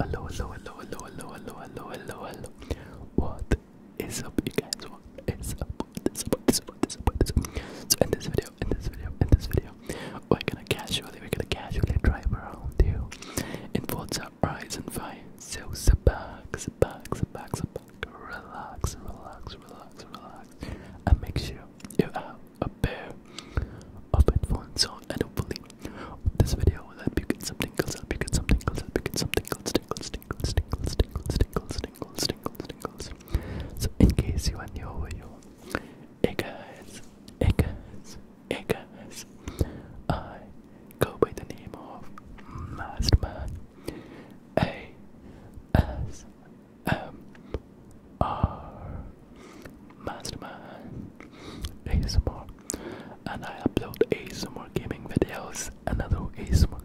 Hello, hello, hello, hello, hello, hello, hello, hello, hello. What is up, you guys? What is up? What is up? What is up? What is up? What is up? So in this video, in this video, in this video, we're gonna casually, we're gonna casually drive around you in Forza Horizon 5. So sit back, sit back, sit back, sit back, relax, relax, relax, relax, and make sure you have a pair of headphones on, and hopefully this video. I hope you get some tingles, I hope you get some tingles, I hope you get some tingles, tingles, tingles, tingles, tingles, tingles, tingles, tingles, tingles. So in case you are new over here, hey guys, hey guys, hey guys, I go by the name of Masterman. A S M R Masterman ASMR and I upload more gaming videos and other more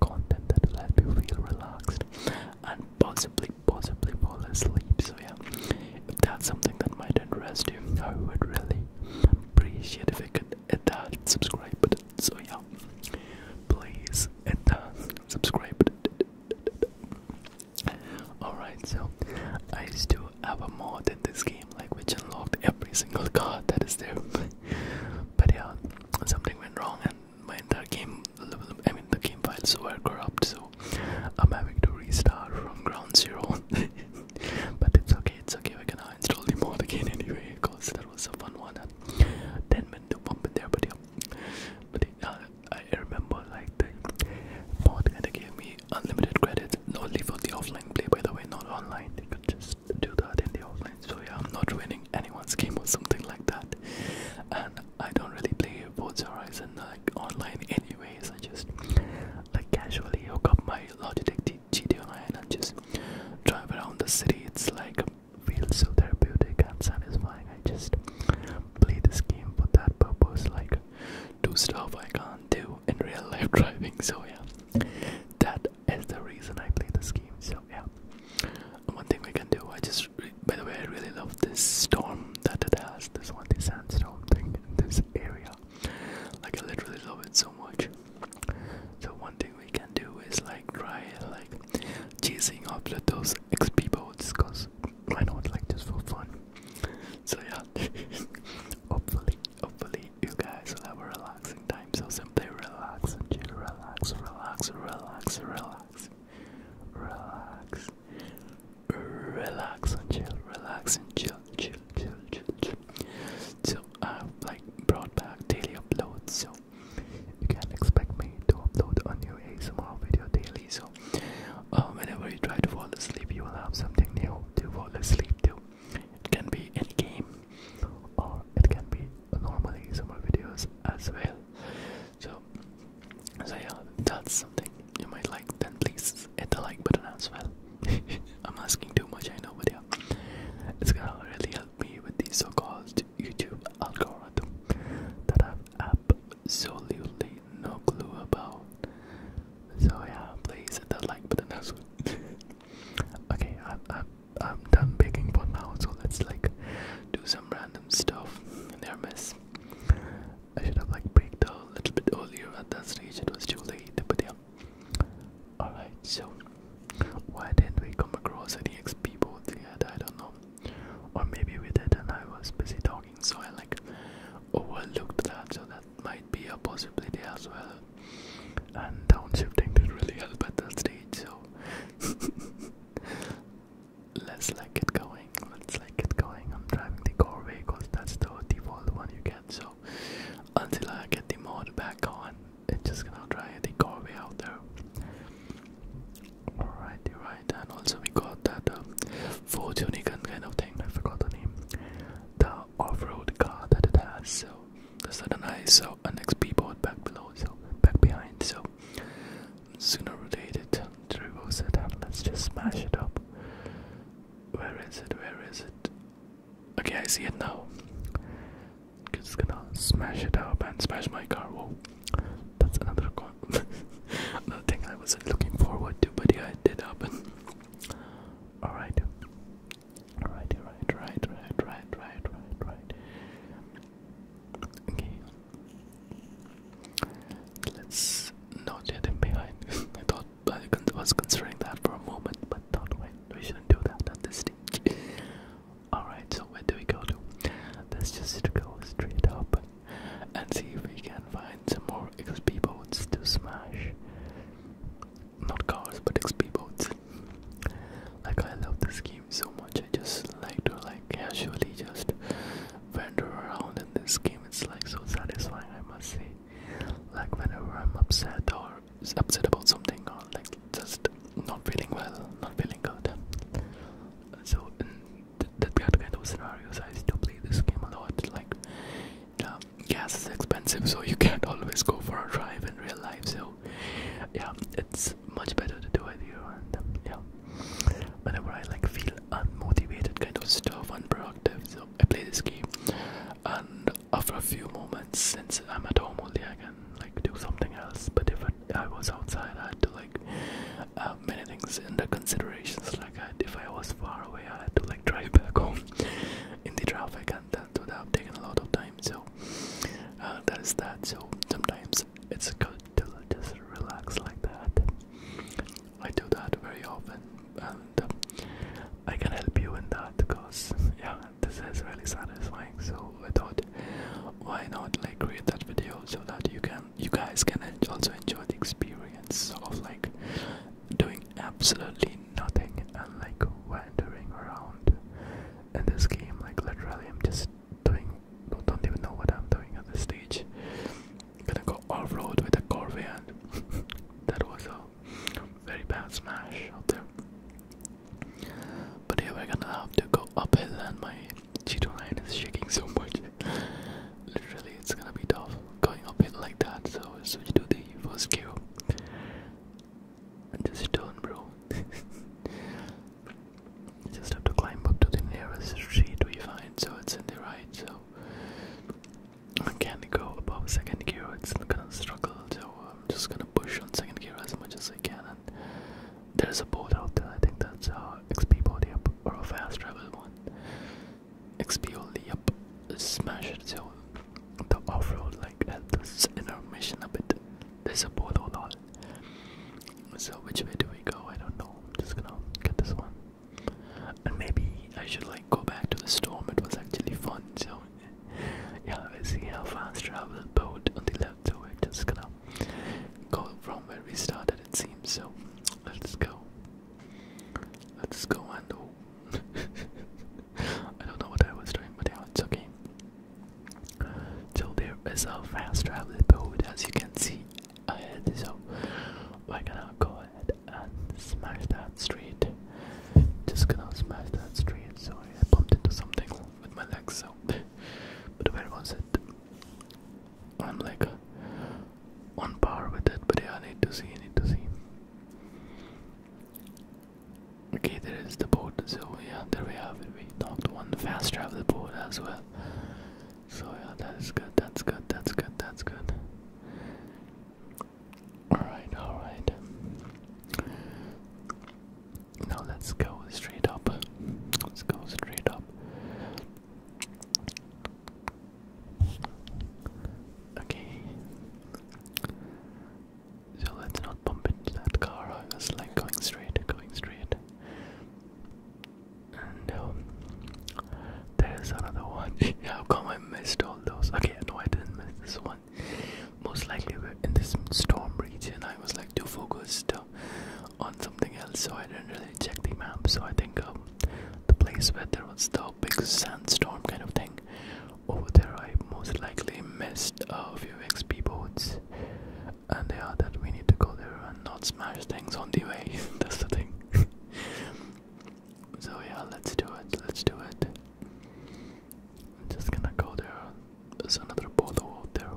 content that will help you feel relaxed and possibly, possibly fall asleep. So, yeah, if that's something that might interest you, I would really appreciate if I could hit that subscribe button. So, yeah, please hit that subscribe button. Alright, so I still have a mod in this game like which unlocked every single card that is there. but yeah, something went wrong and my entire game I mean the game files were corrupt so I'm having to restart from ground zero. but it's okay, it's okay, we can going install the mod again anyway, cause that was a fun one ten minutes to there but yeah but yeah, uh, I remember like the mod kinda gave me the unlimited credits only for the offline play by the way, not online. You could just do that in the offline. So yeah, I'm not winning anyone's game or something like that. And I don't really play Forza Horizon like online anyways. I just like casually hook up my Logitech GT online and just drive around the city. It's like feels so therapeutic and satisfying. I just play this game for that purpose like do stuff I can't do in real life driving. So yeah, that is the reason I play this game. So yeah, one thing we can do. I just by the way, I really love this storm that it has. This one, the sandstorm thing in this area. Like I literally love it so much. So one thing we can do is like try like chasing up those XP boats, cause I know not? Like just for fun. So yeah, hopefully Hopefully, you guys will have a relaxing time. So simply relax and chill. Relax, relax, relax, relax, relax, relax and chill. Relax and chill, chill, chill, chill, chill. So I've like brought back daily uploads. So you can expect me to upload a new ASMR video daily. So Oh, whenever you try to fall asleep, you will have something new to fall asleep to. It can be any game, or it can be normally some videos as well. So, so yeah, that's something you might like. Then please hit the like button as well. I'm asking too much, I know, but yeah, it's gonna really help me with the so-called YouTube algorithm that I've absolutely no clue about. So yeah, please hit that like button as well. okay, I'm I'm I'm done picking for now, so let's like do some random stuff in their mess. I should have like baked a little bit earlier at that stage, it was too late, but yeah. Alright, so why didn't we come across any XP both yet? I don't know. Or maybe we did and I was busy talking so I like overlooked that, so that might be a possibility as well. And downshifting did not really help at that stage, so let's like it going. Let's like it going. I'm driving the car because that's the default one you get. So until I get the mod back on, it's just gonna drive the car way out there. Alrighty, right, and also we got that um, and kind of thing. I forgot the name. The off-road car that it has. So that's not nice. So an XP board back below, so back behind. So sooner or later to reverse it, and let's just smash it up. Where is it? Where is it? Okay, I see it now. it's gonna smash it up and smash my car. Whoa, that's another another thing I was looking forward to, but it did happen. Alright. Alright, right, right, right, right, right, right, Okay. Let's not let him behind. I thought I was considering that for a moment, but thought wait, we shouldn't do that at this stage. Alright, so where do we go to? Let's just go straight up and see if we can find some more XP boats to smash. Not cars, but XP boats. Like I love this game so much. I just like to like casually just wander around in this game. It's like so satisfying, I must say. Like whenever I'm upset or upset about something or like just not feeling well, not feeling good. So in th that kind of scenarios, I still play this game a lot. Like gas is expensive, so you can't always go for a drive in real life. So, yeah, it's much better to do it here. And um, yeah, whenever I like feel unmotivated, kind of stuff, unproductive, so I play this game. And after a few moments, since I'm at home only, I can like do something else. But if it, I was outside, I had to like have uh, many things in the considerations. Like if I was far away, I had to like drive back home in the traffic, and that would have taken a lot of time. So uh, that is that. So sometimes it's good to just relax like that. I do that very often, and uh, I can help you in that because yeah, this is really satisfying. So I thought, why not like create that video so that you can, you guys can also enjoy the experience of like doing absolutely nothing and like wandering around in this game. Like literally, I'm just doing. I Don't even know what I'm doing at this stage. Gonna go off road with a Corvair. that was a very bad smash out there. But here we're gonna have to go uphill, and my Cheeto line is shaking so much. literally it's gonna be tough going up it like that. So switch to the first gear. just turn, bro. just have to climb up to the nearest street we find, so it's in the right. So I can't go above second gear, it's gonna struggle. So I'm just gonna push on second gear as much as I can. And there's a boat out there, I think that's a XP boat, or a fast travel one. XPO up smash it so the off-road like helps in our mission a bit. There's a boat portal lot. So which way do we go? I don't know. I'm just gonna get this one. And maybe I should like go back to the storm. It was actually fun. So yeah, I see how fast travel boat on the left. So we're just gonna go from where we started. It seems so. Let's go. Let's go and oh. I don't know what I was doing, but yeah, it's okay. So there is a fast travel boat as you can see ahead, so we're gonna go ahead and smash that street. Just gonna smash that street. Sorry, I bumped into something with my legs, so. but where was it? I'm like, on par with it, but yeah, I need to see, I need to see. Okay, there is the boat, so yeah, there we have it. We knocked one fast travel boat as well. So yeah, that is good, that's good, that's good, that's good. Alright, alright. Now let's go straight up. Let's go straight up. Okay. So let's not bump into that car. I was like going straight, going straight. And um, there's another one. How come I missed all those? Okay, no, I didn't miss this one. Most likely we're in this storm region. I was like too focused uh, on something else, so I didn't really check the map. So I think um, the place where there was the big sandstorm kind of thing. Over there, I most likely missed a few XP boats, and they are that we need to go there and not smash things on the way. That's the thing. so, yeah, let's do it. Let's do it. I'm just gonna go there. There's another polo out there.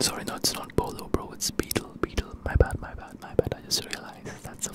Sorry, no, it's not polo, bro. It's beetle, beetle. My bad, my bad, my bad. I just realized that's a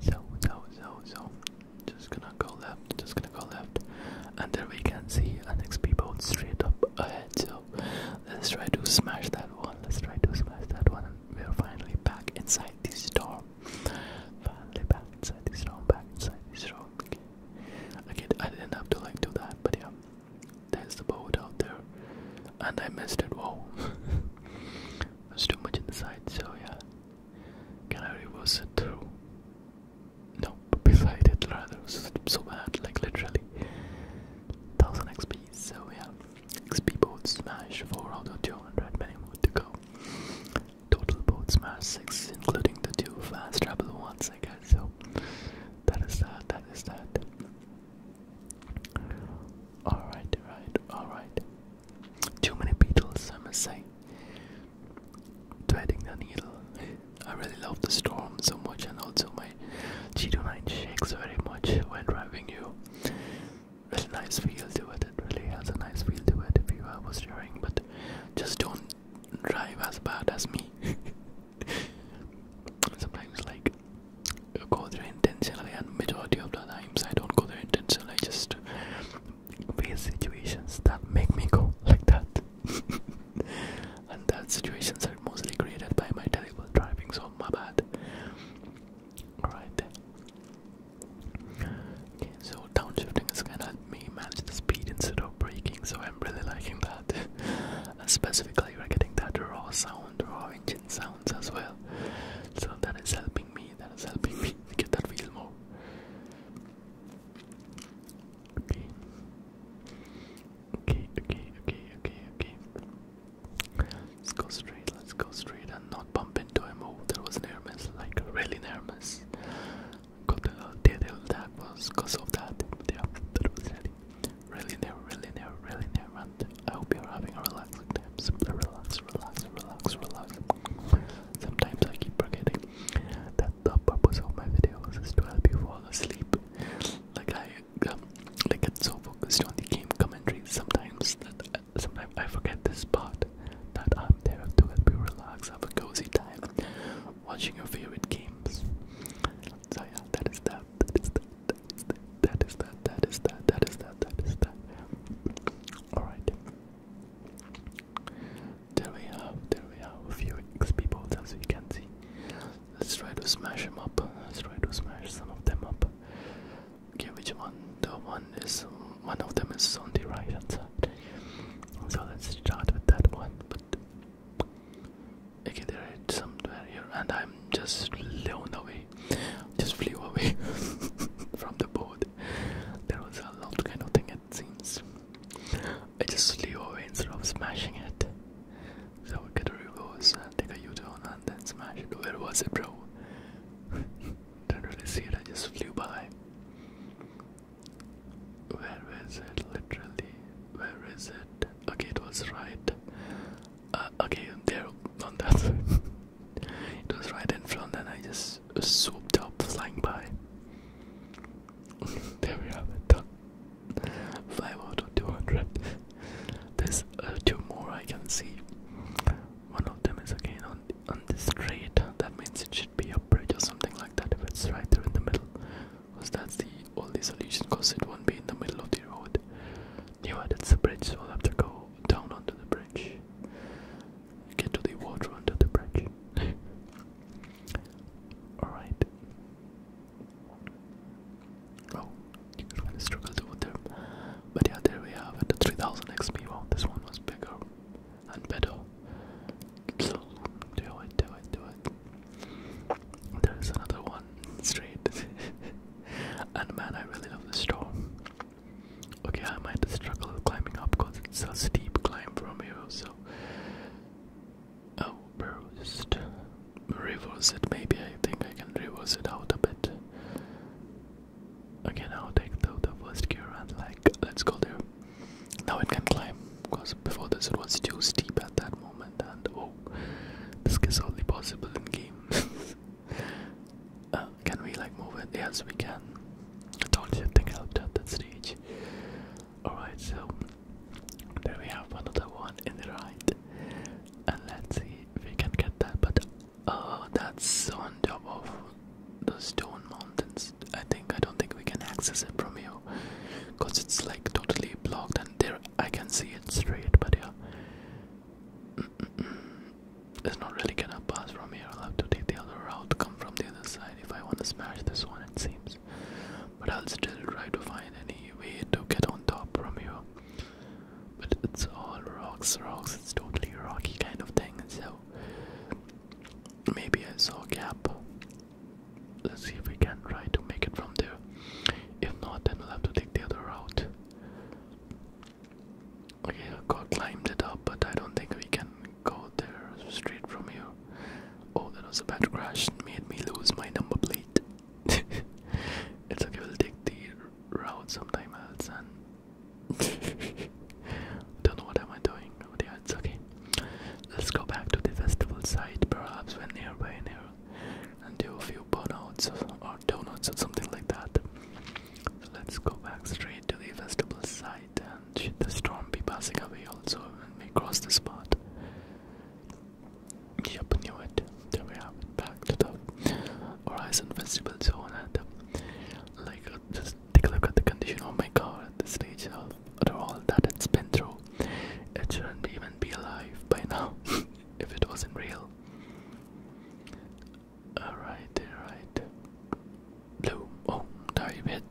So, so, so, so, just gonna go left, just gonna go left, and there we can see an XP boat straight up ahead. So, let's try to smash that one. Let's try to smash that one. And we're finally back inside this storm. Finally back inside this storm. Back inside this storm. Okay. okay, I didn't have to like do that, but yeah, there's the boat out there, and I missed it. Whoa. There's too much inside, so yeah. Can I reverse it? No, but beside it rather. So bad, like literally. 1000 XP, so yeah. XP boat smash, for out 200, many more to go. Total boat smash, 6, including the 2 fast travel ones, I guess. So that is that, that is that. Alright, right, alright. Too many Beatles, I must say. Threading the needle. I really love the storm so much, and also my G29 shakes very much when driving you. Really nice feel to it, really has a nice feel to it if you I was steering, but just don't drive as bad as me. Sometimes, like, I go there intentionally, and majority of the times I don't go there intentionally. I just face situations that make me go like that, and that situations are mostly created by my terrible driving. So my bad. Alright. so downshifting is gonna help me manage the speed instead of braking, so I'm really liking that. and specifically, we're getting that raw sound, raw engine sounds as well. So that is helping me, that is helping me get that feel more. Okay. Okay, okay, okay, okay, Let's go straight, let's go straight and not bump into him. Oh, there was an like really near Got the detail uh, that was because of that. Yeah, that was really, really near, really near, really near, I hope you're having a relaxing time. Simply relax, relax, relax, relax. Sometimes I keep forgetting that the purpose of my videos is to help you fall asleep. Like I, um, like get so focused on the game commentary sometimes that sometimes I forget this part that I'm there to help you relax, have a cozy time watching your favorite games. So yeah, that is that. That is that that is that, that is that, that is that, that is that. Alright. There we have, there we have a few XP bolts as you can see. Let's try to smash them up. Let's try to smash some of them up. Okay, which one? The one is, one of them is on the right hand side. So let's start with that one. okay, there it's somewhere here, and I'm just blown away just flew away from the board. There was a loud kind of thing it seems. I just flew away instead of smashing it. So we get a reverse and take a U-turn and then smash it. Where was it bro? Didn't really see it, I just flew by. Where is it? Literally, where is it? Okay, it was right. Uh, okay, there on that. It was right in front, and I just swooped up, flying by. there we have it. Done. There's uh, two more I can see. One of them is again on on this straight. That means it should be a bridge or something like that. If it's right there in the middle, because that's the only solution. Because it won't be in the middle of the road. Yeah, that's a bridge, so I'll have to go down onto the bridge. Get to the water under the bridge. Alright. Oh, you're gonna struggle to with them. But yeah, there we have The 3000 XP. Wow, this one was bigger and better. do it, do it, do it. There's another one straight. and man, I really love the storm. Okay, I might struggle climbing up because it's a steep climb from here, so. Oh, bro, reverse it. Maybe I think I can reverse it out a bit. Okay, will take the, the first gear and like, let's go there. Now it can climb because before this it was too steep at that moment, and oh, this is only possible in game. Uh, can we like move it? Yes, we can. I told you nothing helped at that stage. Alright, so there we have another one in the right. And let's see if we can get that. But oh, that's on top of the stone mountains. I think I don't think we can access it from here because it's like totally blocked and there I can see it straight but yeah it's not really gonna pass from here. I'll have to take the other route, come from the other side if I want to smash this one, it seems. But I'll still try to find any way to get on top from here. But it's all rocks, rocks, it's totally rocky kind of thing, so maybe I saw a gap. Let's see if we can try to make it from there. If not, then we'll have to take the other route. Okay, the god climbed it up, but I don't think we can go there straight from here. Oh, that was a bad crash. Made me lose my number plate. it's okay, we'll take the route sometime else and don't know what am I doing, Oh yeah, it's okay. Let's go back to the festival site, perhaps when nearby near and do a few burnouts or donuts or something like that. let's go back straight to the festival site and should the storm be passing away also when we cross this part? Yep, knew it. There we have Back to the Horizon Festival Zone and uh, like uh, just take a look at the condition of oh my car at this stage of all that it's been through. It shouldn't even be alive by now if it wasn't real. Alright, alright. Blue. Oh, there you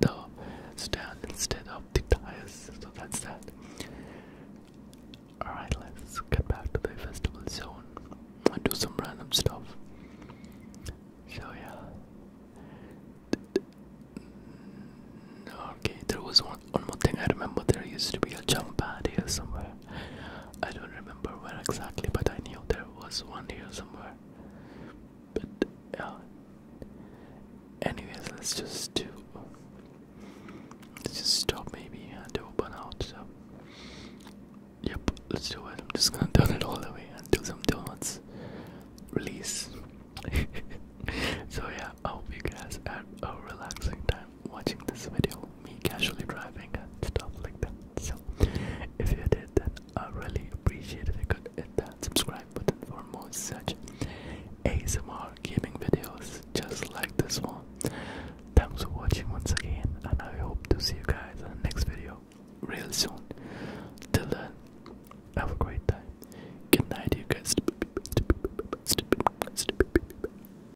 stand instead of the tires. So that's that. Alright, let's get back to the festival zone and do some random stuff. So, yeah. Okay, there was one, one more thing I remember. There used to be a jump pad here somewhere. I don't remember where exactly, but I knew there was one here somewhere. But yeah. Anyways, let's just do. Let's just stop maybe and open out. So. Yep, let's do it. I'm just gonna turn it all the way and do some donuts. Release. so yeah, I hope you guys had a relaxing time watching this video, me casually driving and stuff like that. So, if you did, then I really appreciate if you could hit that subscribe button for more such ASMR gaming videos just like this one. Thanks for watching once again, and I hope to see you guys in the next video real soon. Till then, have a great time. Good night, you guys.